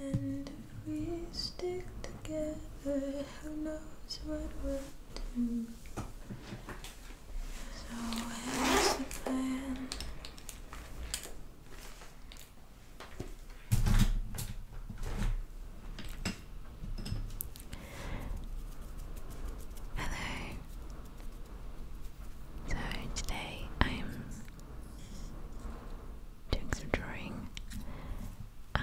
And if we stick together, who knows what we'll do? So here's the plan. Hello. So today I'm doing some drawing. I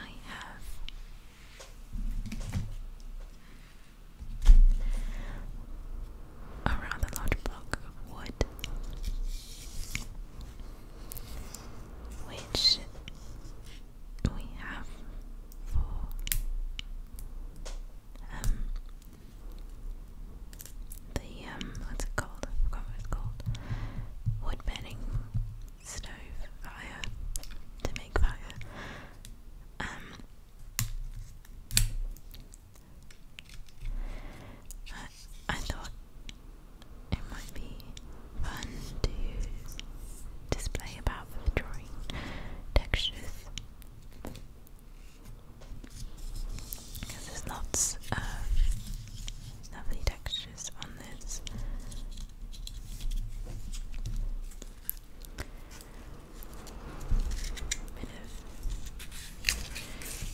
have a large block of wood, which we have for um, the um, what's it called? I forgot what it's called. Wood burning stove fire to make fire. Um I, thought it might be fun to display about for drawing textures there's lots of uh, lovely textures on this. Bit of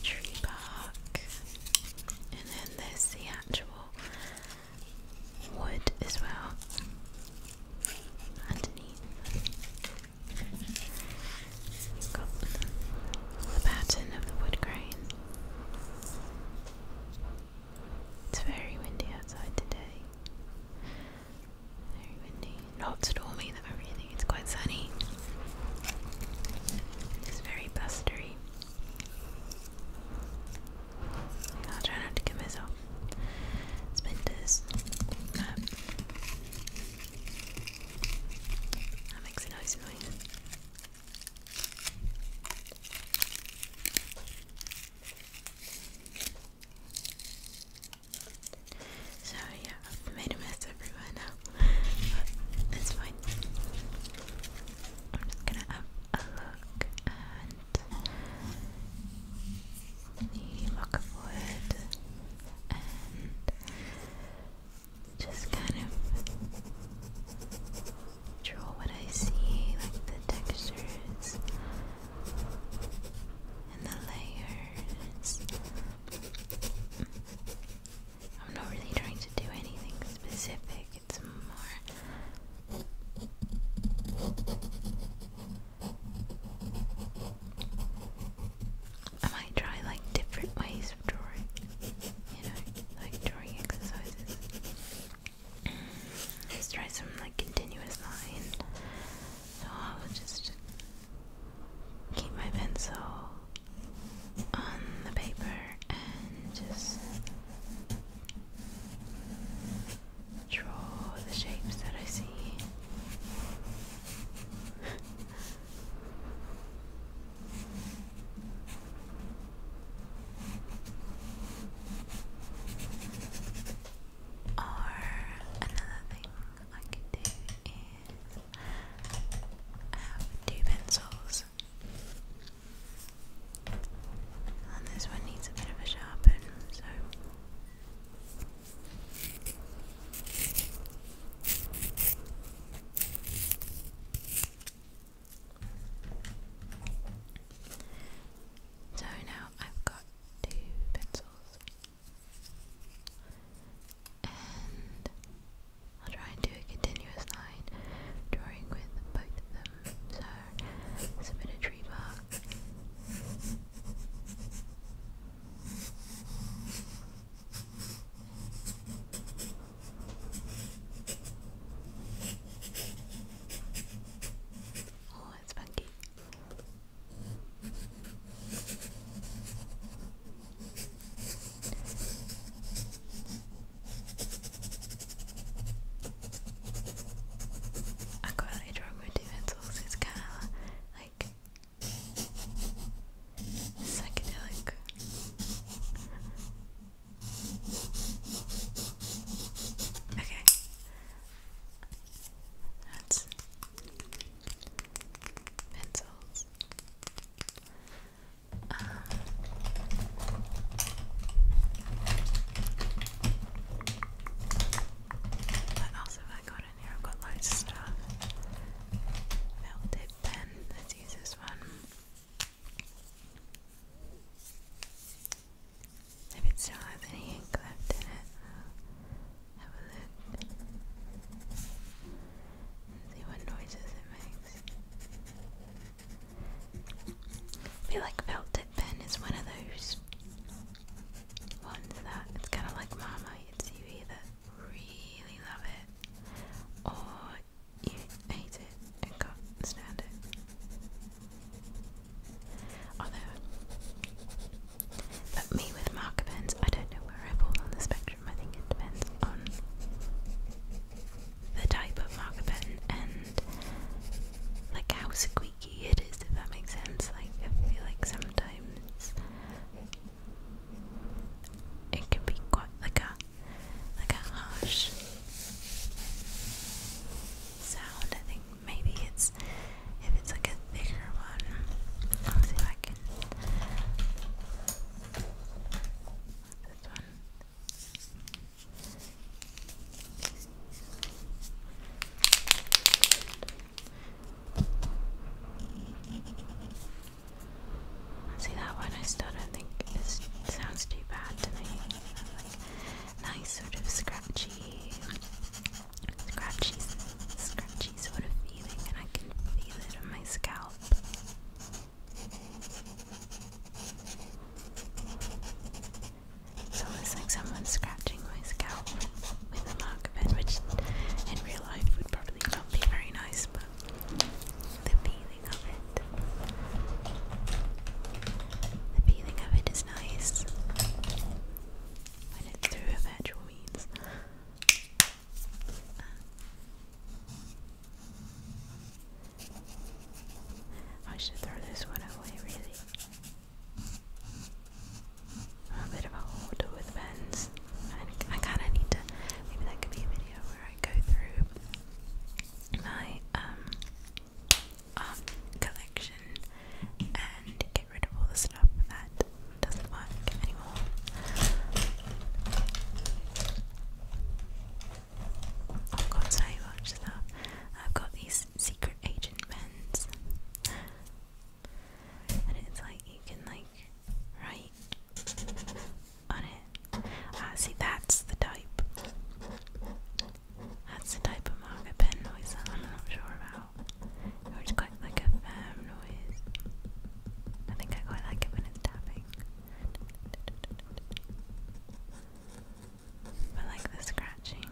tree bark, and then there's the actual wood as well underneath. Got the pattern of the wood grain. It's very windy outside today. Very windy. Not stormy though, really. It's quite sunny. It's very blustery. I'll try not to give myself splinters. Um, that makes a nice noise. So yeah, i made a mess everywhere now. But it's fine. I'm just gonna have a look at the lock just kind of draw what I see, like the textures and the layers. I'm not really trying to do anything specific, it's more. I might try like different ways drawing, you know, like drawing exercises. Let's try some like continuous line. So I will just keep my pencil on the paper and just draw the shapes that I see. Or another thing I could do is have two pencils. And this one needs a bit of a sharpen, so so now I've got two pencils, and I'll try and do a continuous line drawing with both of them. So it's a bit of tree bark. Oh, it's funky. I quite like drum utensils. It's kind of like psychedelic. Okay. That's pencils. Um, I got in here? I've got loads of stuff. Melted pen. Let's use one. If it still has any ink left in it, have a look see what noises it makes. I feel like felt tip pen is one of those ones that it's kind of like Marmite. It's either really love it or you hate it and can't stand it. Although, but me with marker pens, I don't know where I fall on the spectrum. I think it depends on the type of marker pen and like how squeaky it is, if that makes sense. Like, I feel like sometimes it can be quite like a like a harsh sound. I think maybe it's if it's like a bigger one. I'll see if I can. See that one? I still don't think this sounds too bad to me. Like, nice sort of scratchy, scratchy, scratchy sort of feeling, and I can feel it on my scalp. It's almost like someone's scratching my scalp with a marker pen, which in real life would probably not be very nice, but the feeling of it. The feeling of it is nice when it's through a virtual means. I should throw this one away, really. I'm a bit of a hoarder with pens. I kind of need to. Maybe that could be a video where I go through my um, art collection and get rid of all the stuff that doesn't work anymore. I've oh got so much stuff. I've got these secret agent pens, and it's like you can like write on it. Ah, see, that's the type. That's the type of marker pen noise I'm not sure about. Or it's quite like a firm noise. I think I quite like it when it's tapping. But like the scratching.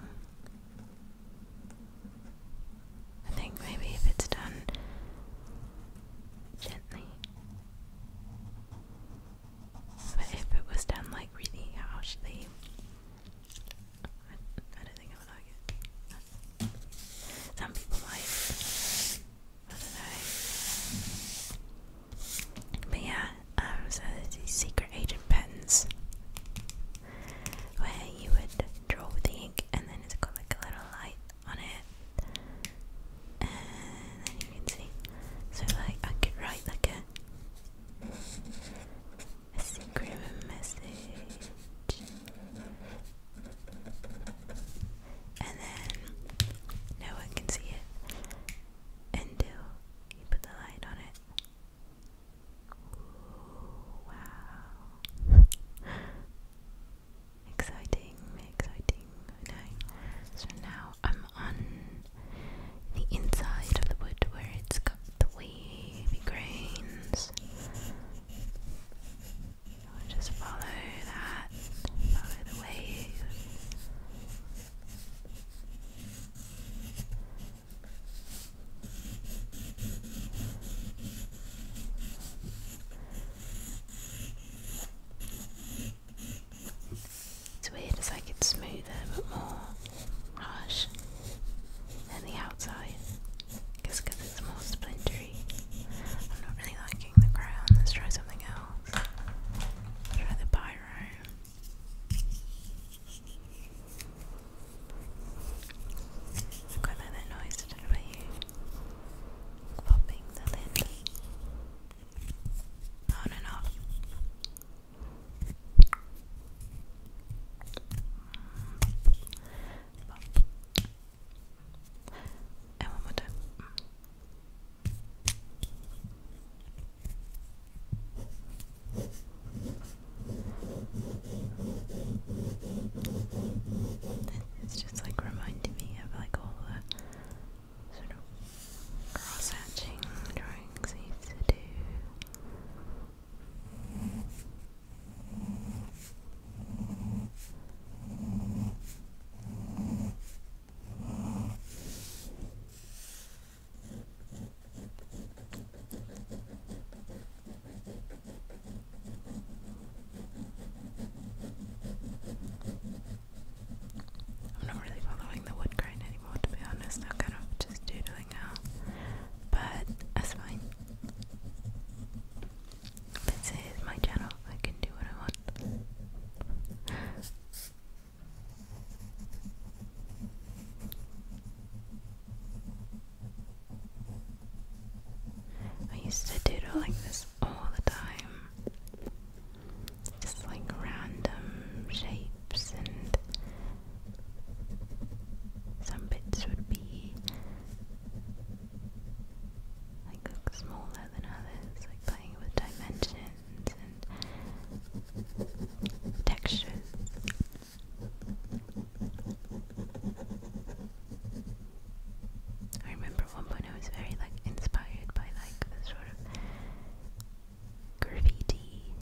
I think maybe if it's done gently, but if it was done like really harshly, I, I don't think I would like it. Some people might. I don't know. But yeah, um, so there's these secret agent pens where you would draw with ink and then it's got like a little light on it and then you can see. So like I could write like a secret message, and then no one can see it until you put the light on it. wow. Exciting, exciting, So now I'm on the inside of the wood where it's got the wavy grains. I'll just follow that, follow the wave. It's weird as I get smoother but more harsh than the outside. because it's more splintery. I'm not really liking the crown. Let's try something else. try the pyro. I quite that noise, I don't know about you. Popping the lid on and It's just like reminding me of like all the sort of cross hatching drawings I to do. I'm not really following the wood grain anymore, to be honest. I'm kind of just doodling out, but that's fine. This is my channel, I can do what I want. I used to doodle this all the time just like random shapes, and some bits would be like smaller than others, like playing with dimensions and textures. I remember remember one point I was very like inspired by like the sort of graffiti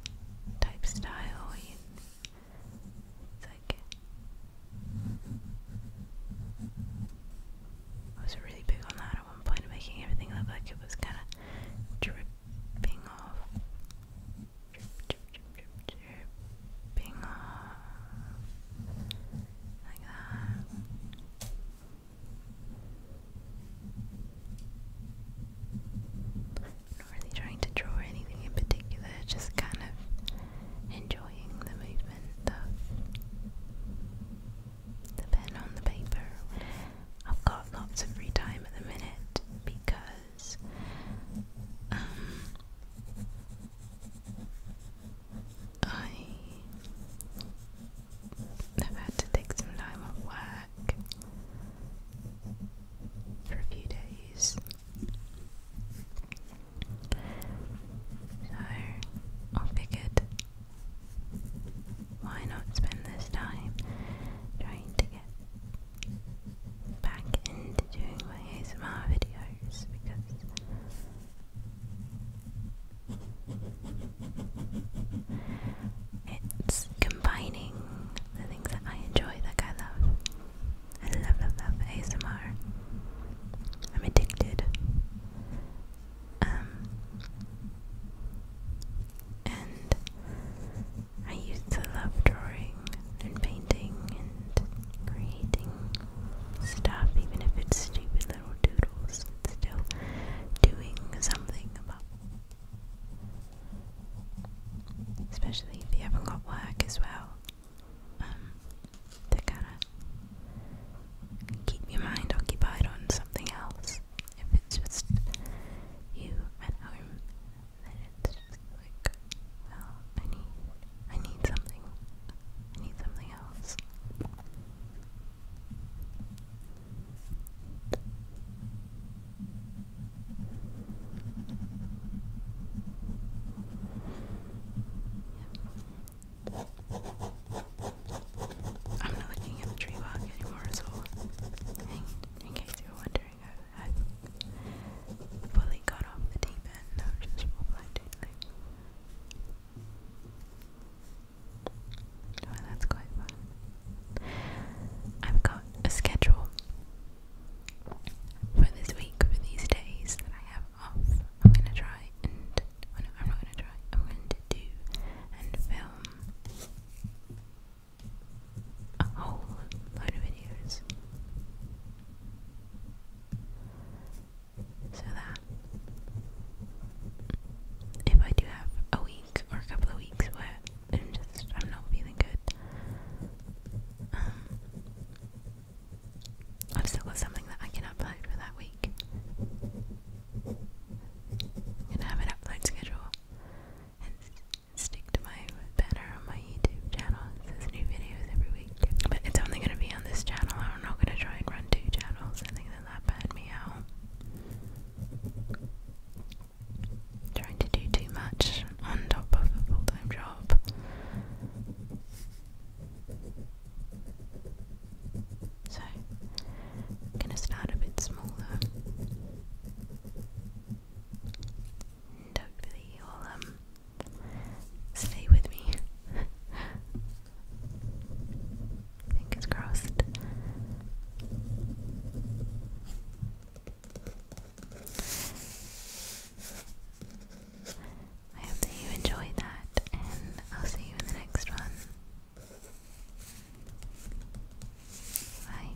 type style. it's like I was really big on that at one point, making everything look like it was kind of dripping off, dripping off, like that i not really trying to draw anything in particular, just kind of enjoying the movement of the pen on the paper. I've got lots of free time in the minute because um, I I've had to take some time off work for a few days. So I figured why not spend this time trying to get back into doing my ASMR videos because it's combining the things that I enjoy, like I love. I love, love, love ASMR. I'm addicted. Um, and I used to love drawing and painting and creating stuff, even if it's stupid little doodles still doing something about especially if you haven't got work as well um, to kind of keep your mind occupied on something else if it's just you at home then it's like well I need I need something I need something else I'm not looking at the tree walk anymore, so in, case you were wondering, I, fully got off the deep end. i just blind well, that's quite fun. I've got a schedule for this week, for these days that I have off. I'm gonna try and oh, no, I'm not gonna try. I'm going to do and film a whole load of videos so that if I do have a week or a couple of weeks where I'm just I'm not feeling good, um, I've still got something that I can upload for that week. I'm gonna have an upload schedule and stick to my banner on my YouTube channel. It says new videos every week, but it's only gonna be on this channel. I'm not gonna try and run two channels. I think that that bad me out. Trying to do too much on top of a full time job. So, I'm going to start a bit smaller. hopefully, you'll um, stay with me Fingers crossed. I hope that you enjoy that, and I'll see you in the next one. Bye.